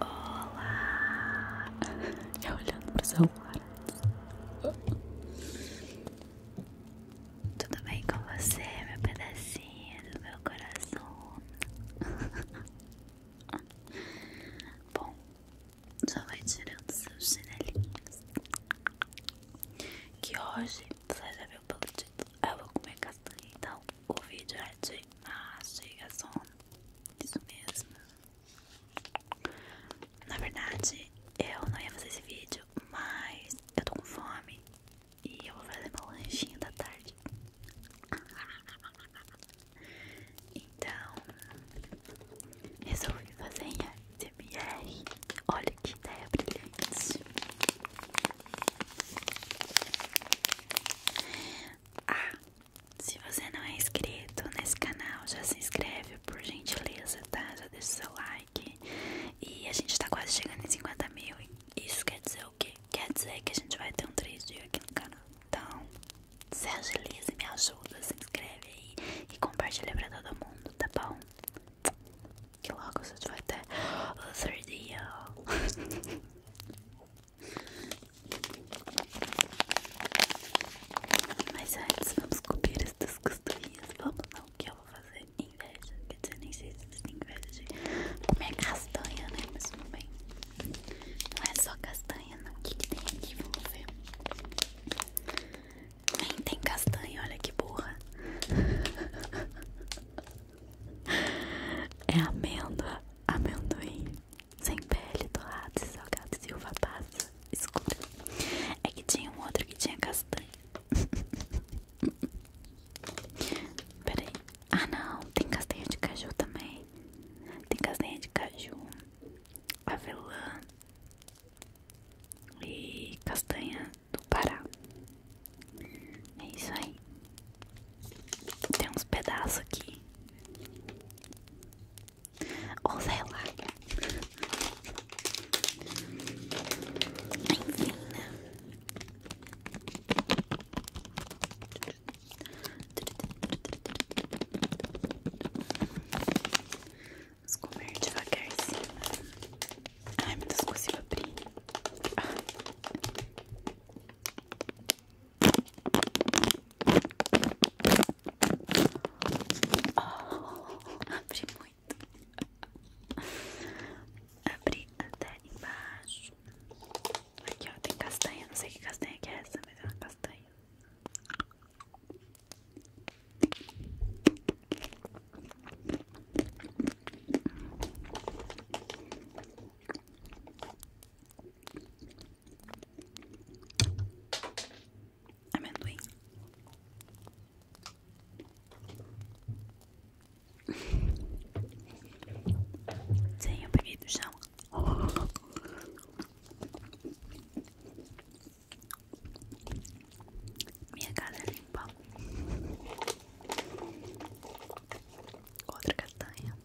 Olá! Já é olhando pro celular. Tudo bem com você, meu pedacinho do meu coração? Bom, já vai tirando seus chinelinhos. Que hoje, você já viu pelo título, eu vou comer castanha. Então, o vídeo é de ah, a mastigação. Isso mesmo. Na verdade, eu não ia fazer esse vídeo, mas eu tô com fome e eu vou fazer meu lanchinho da tarde. Então, resolvi fazer em ASMR. Olha que ideia brilhante. Ah, se você não é inscrito nesse canal, já se inscreve por gentileza, tá? Já deixa o seu like. E a gente tá quase chegando em 50 mil. Isso quer dizer o quê? Quer dizer que a gente vai ter um 3 dias aqui no canal. Então, se agiliza e me ajuda, se inscreve aí e compartilha pra todo mundo, tá bom? Que logo a gente vai ter o 3 dias. Mas antes, vamos comer estas costurinhas. Vamos não, que eu vou fazer inveja. Quer dizer, nem sei se tem inveja de comer castanha, né? Mas não bem. Não é só castanha, não. O que, que tem aqui? Vamos ver. Nem tem castanha, olha que burra. É amêndoa, amendoim sem pele, torrados e salgados e uva passa escura. É que tinha um outro que tinha castanha. Peraí. Ah, não. Tem castanha de caju também. Tem castanha de caju, avelã e castanha do Pará. É isso aí. Tem uns pedaços aqui. Ou sei lá. Enfim, né? Vamos comer devagarzinho. Ai, meu Deus, consigo abrir. Ah. Oh, abri muito. Abri até embaixo. Aqui ó, tem castanha. Não sei que castanha é essa, mas é uma castanha. Amendoim. Sim, eu peguei do chão. Minha casa é limpa. Outra castanha.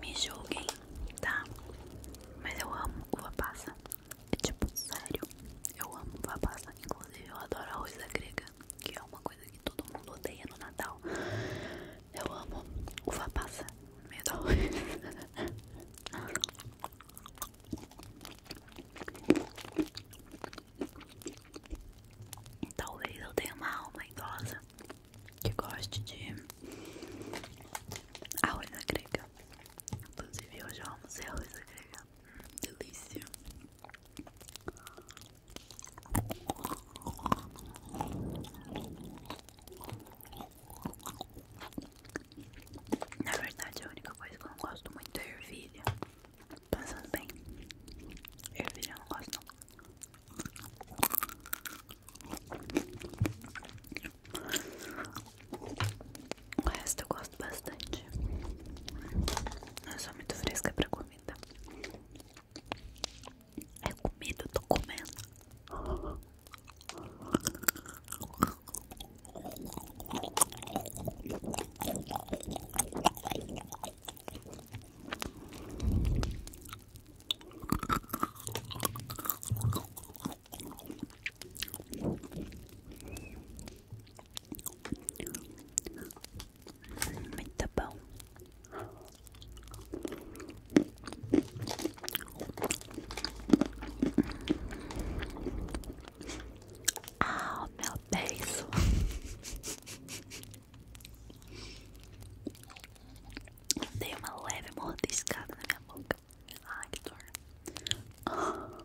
Me julguem, tá? Mas eu amo uva passa. É tipo, sério, eu amo uva passa. Inclusive, eu adoro a da grega, que é uma coisa que todo mundo odeia no Natal. Eu amo uva passa no meio da Talvez eu tenha uma alma idosa que goste de arroz na grega. Inclusive, hoje eu almocei arroz na grega. Hum, delícia. Na verdade, a única coisa que eu não gosto muito é ervilha. Pensando bem, ervilha eu não gosto. Não. O resto eu gosto bastante. Eu sou muito fresca pra comida. É comida, eu tô comendo. Muito tá bom. Ah, meu beijo. Dei uma leve mordiscada na minha boca. Ai, que dor.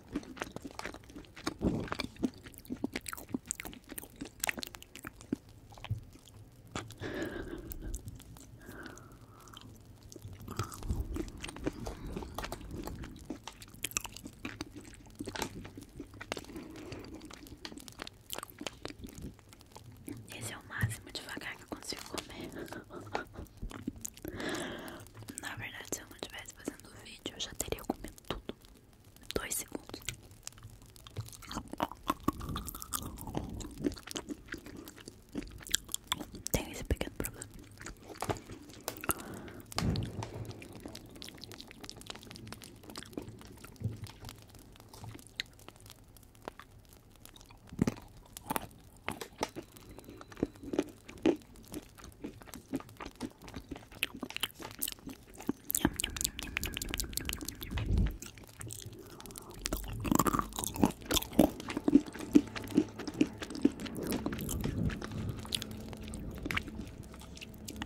Esse é o máximo devagar que eu consigo comer. Na verdade, eu estivesse fazendo o vídeo, eu já teria comido tudo dois segundos. Tenho esse pequeno problema.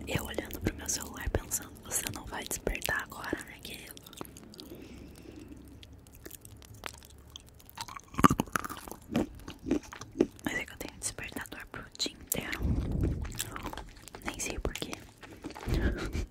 Eu olhando pro meu celular pensando, você não vai despertar agora, né, querido? Mas é que eu tenho despertador pro dia inteiro. Nem sei porquê. Ah.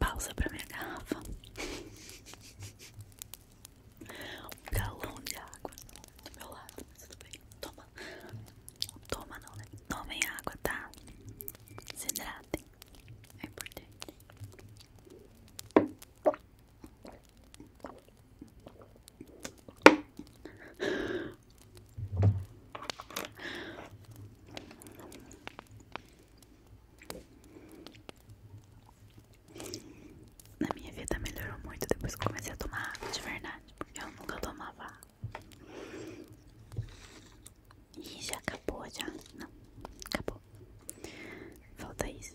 Pausa para minha garrafa. Um galão de água do meu lado, mas tudo bem. Toma água. Toma não, né? Tomem água, tá? Se hidratem. É importante. Na minha vida melhorou muito depois que comecei a tomar água de verdade, porque eu nunca tomava água. E já acabou já? Não, acabou. Falta isso.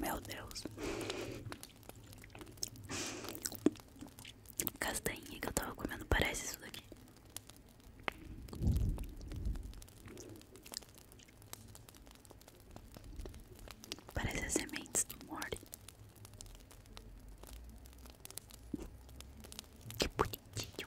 Meu Deus. Castanha que eu tava comendo parece isso daqui. Parece as sementes do Mori. Que bonitinho.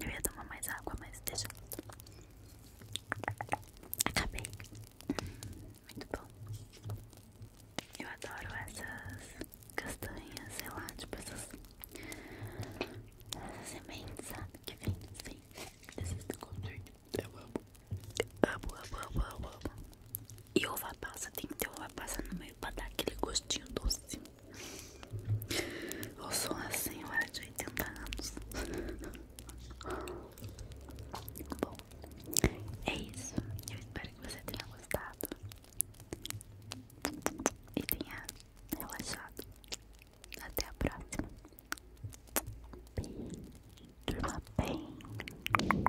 Eu ia tomar mais água, mas deixa Acabei. Muito bom. Eu adoro essas castanhas, sei lá, tipo essas... Essas sementes, sabe? Que vem, vem. Assim. Desses conjuntos. Eu amo. Amo, amo, amo, amo, amo. E uva passa, tem que ovo uva passa no meio pra dar aquele gostinho doce. Eu sou uma senhora de 80 anos. Bom, é isso. Eu espero que você tenha gostado e tenha relaxado. Até a próxima. Bem, durma bem.